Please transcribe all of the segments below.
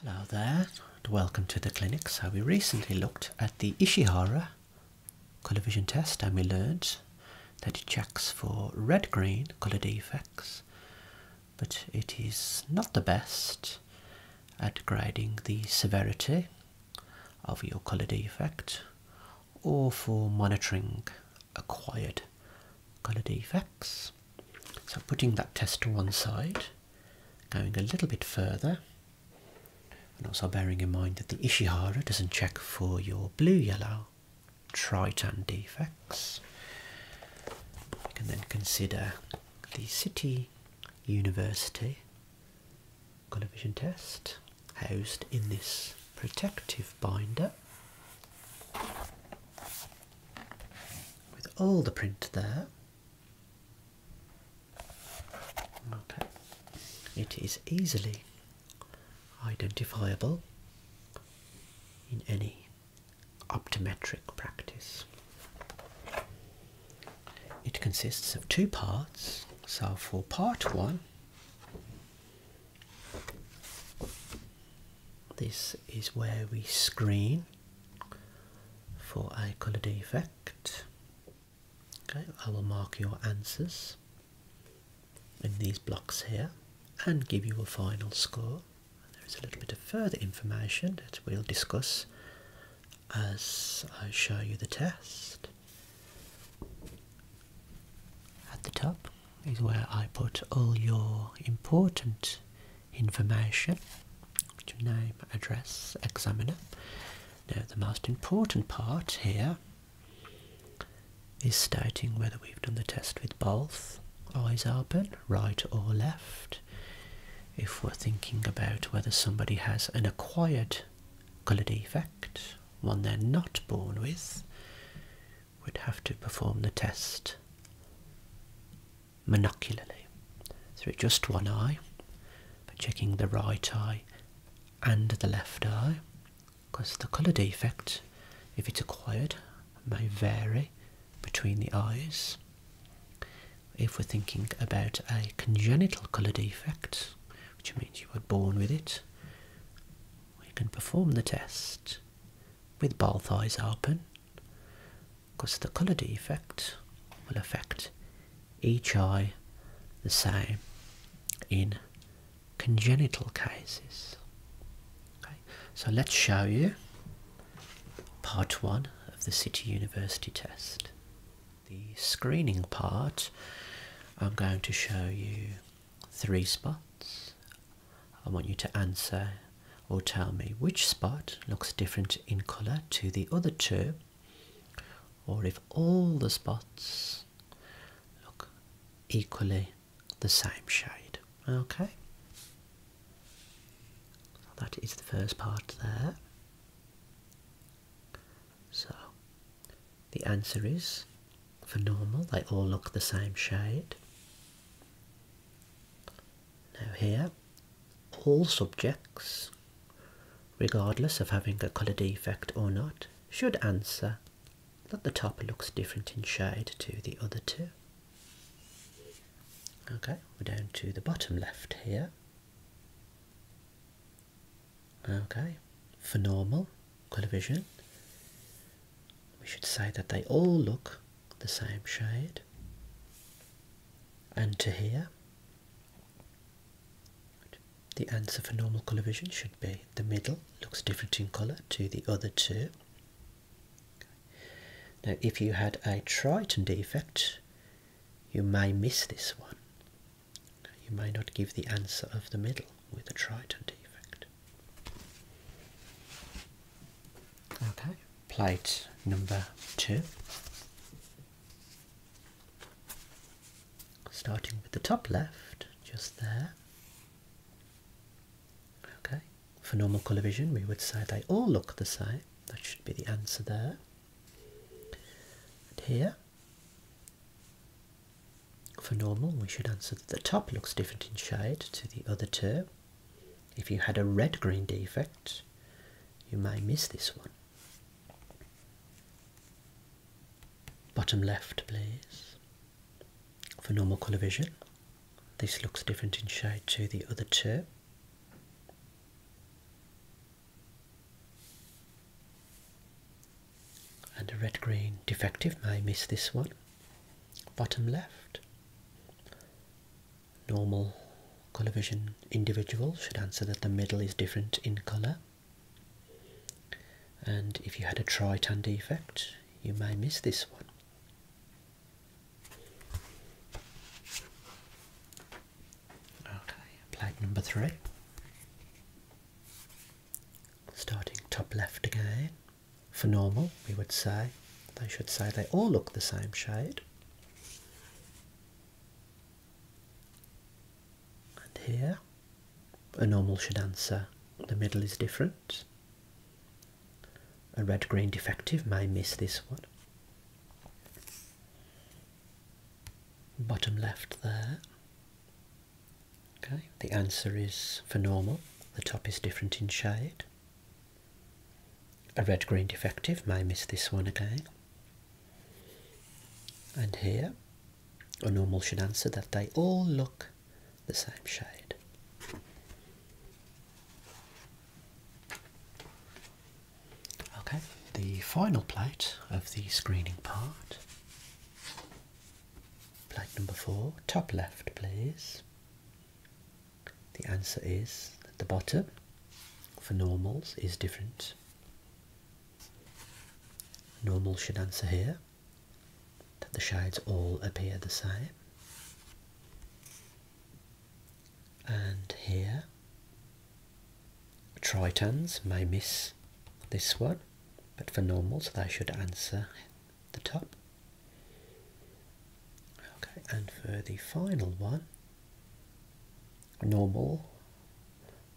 Hello there and welcome to the clinic. So we recently looked at the Ishihara colour vision test and we learned that it checks for red-green colour defects but it is not the best at grading the severity of your colour defect or for monitoring acquired colour defects. So putting that test to one side, going a little bit further, and also bearing in mind that the Ishihara doesn't check for your blue-yellow triton defects. We can then consider the City University colour vision test housed in this protective binder with all the print there. it is easily identifiable in any optometric practice. It consists of two parts, so for part one, this is where we screen for eye colour defect. Okay, I will mark your answers in these blocks here and give you a final score. There is a little bit of further information that we'll discuss as I show you the test. At the top, is where I put all your important information, your name, address, examiner. Now the most important part here is stating whether we've done the test with both eyes open, right or left. If we're thinking about whether somebody has an acquired colour defect, one they're not born with, would have to perform the test monocularly through just one eye, by checking the right eye and the left eye, because the colour defect, if it's acquired, may vary between the eyes. If we're thinking about a congenital colour defect, which means you were born with it, we can perform the test with both eyes open because the colour defect will affect each eye the same in congenital cases. Okay, so let's show you part one of the City University test. The screening part, I'm going to show you three spots. I want you to answer or tell me which spot looks different in colour to the other two, or if all the spots look equally the same shade. Okay, that is the first part there. So the answer is, for normal, they all look the same shade. Now here, all subjects, regardless of having a colour defect or not, should answer that the top looks different in shade to the other two. Okay, we're down to the bottom left here. Okay, for normal colour vision, we should say that they all look the same shade. And to here, the answer for normal colour vision should be the middle looks different in colour to the other two. Now, if you had a Triton defect, you may miss this one you may not give the answer of the middle with a triton defect. Okay, plate number two. Starting with the top left, just there. Okay, for normal colour vision we would say they all look the same. That should be the answer there. And here, for normal, we should answer that the top looks different in shade to the other two. If you had a red-green defect, you may miss this one. Bottom left, please. For normal colour vision, this looks different in shade to the other two and a red green defective may miss this one bottom left normal colour vision individual should answer that the middle is different in colour and if you had a tritan defect you may miss this one Okay, plate number three. Starting top left again. For normal, we would say, they should say they all look the same shade. And here, a normal should answer the middle is different. A red green defective may miss this one bottom left there. Okay, the answer is for normal, the top is different in shade. A red-green defective may miss this one again. And here, a normal should answer that they all look the same shade. Okay, the final plate of the screening part. Plate number four, top left, please. The answer is at the bottom for normals is different. Normal should answer here that the shades all appear the same and here tritons may miss this one but for normals they should answer the top okay and for the final one normal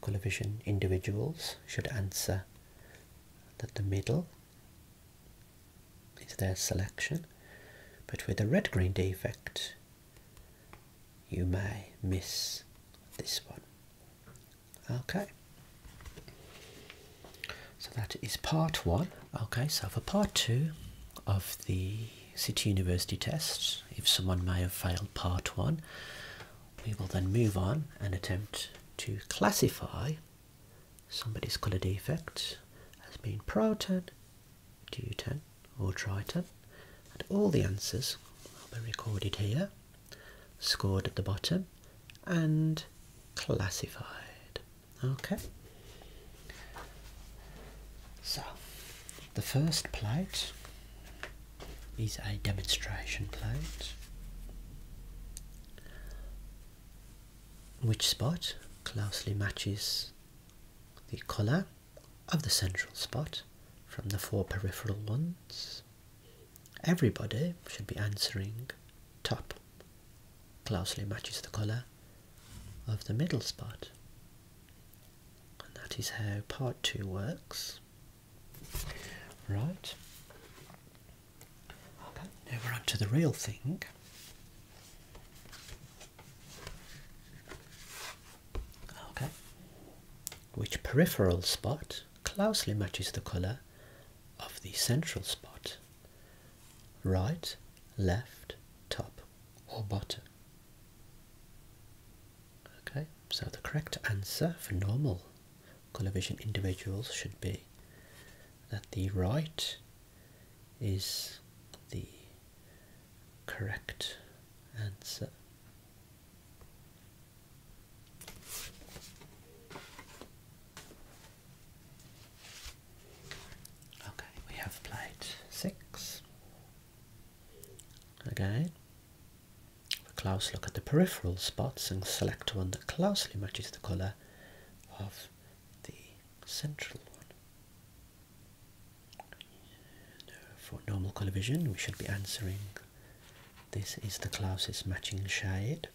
colour vision individuals should answer that the middle is their selection but with a red green defect you may miss this one. Okay. So that is part one. Okay, so for part two of the City University test, if someone may have failed part one, we will then move on and attempt to classify somebody's colour defect as being proton, Deuton or Triton, and all the answers will be recorded here, scored at the bottom, and classified. Okay. So, the first plate is a demonstration plate. Which spot closely matches the colour of the central spot from the four peripheral ones. Everybody should be answering top closely matches the colour of the middle spot. And that is how part two works. Right. Okay, now we're on to the real thing. Okay. Which peripheral spot closely matches the colour of the central spot? Right, left, top, or bottom? Okay, so the correct answer for normal colour vision individuals should be that the right is the correct answer. Okay, we have plate six. Again, a close look at the peripheral spots and select one that closely matches the colour of the central one. for normal colour vision, we should be answering this is the closest matching shade.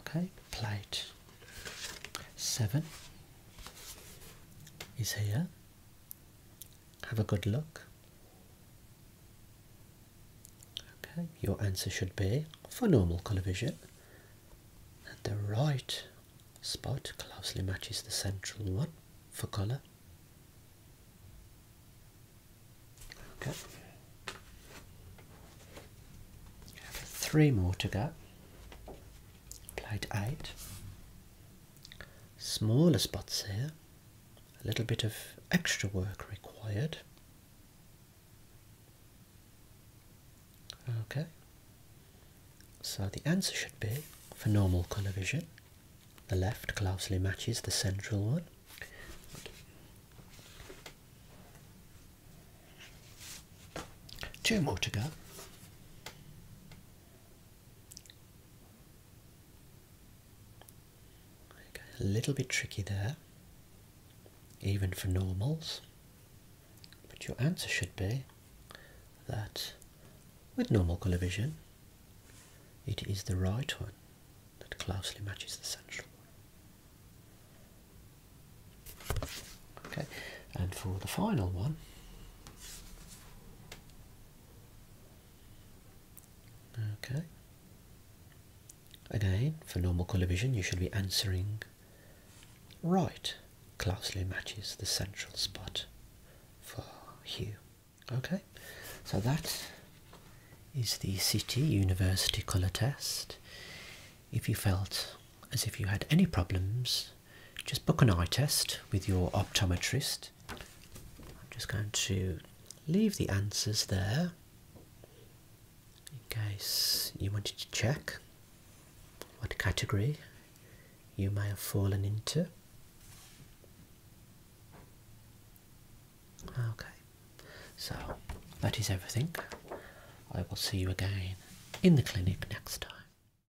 Okay, plate 7 is here have a good look. Okay, your answer should be for normal colour vision that the right spot closely matches the central one for colour. Okay. Three more to go. Plate eight. Smaller spots here a little bit of extra work required. Okay, so the answer should be for normal colour vision, the left closely matches the central one. Two more to go a little bit tricky there, even for normals. But your answer should be that with normal colour vision, it is the right one that closely matches the central one. Okay, and for the final one, Okay. Again, for normal colour vision, you should be answering right. Closely matches the central spot for hue. Okay, so that is the City University colour test. If you felt as if you had any problems just book an eye test with your optometrist. I'm just going to leave the answers there in case you wanted to check what category you may have fallen into. Okay, so that is everything. I will see you again in the clinic next time.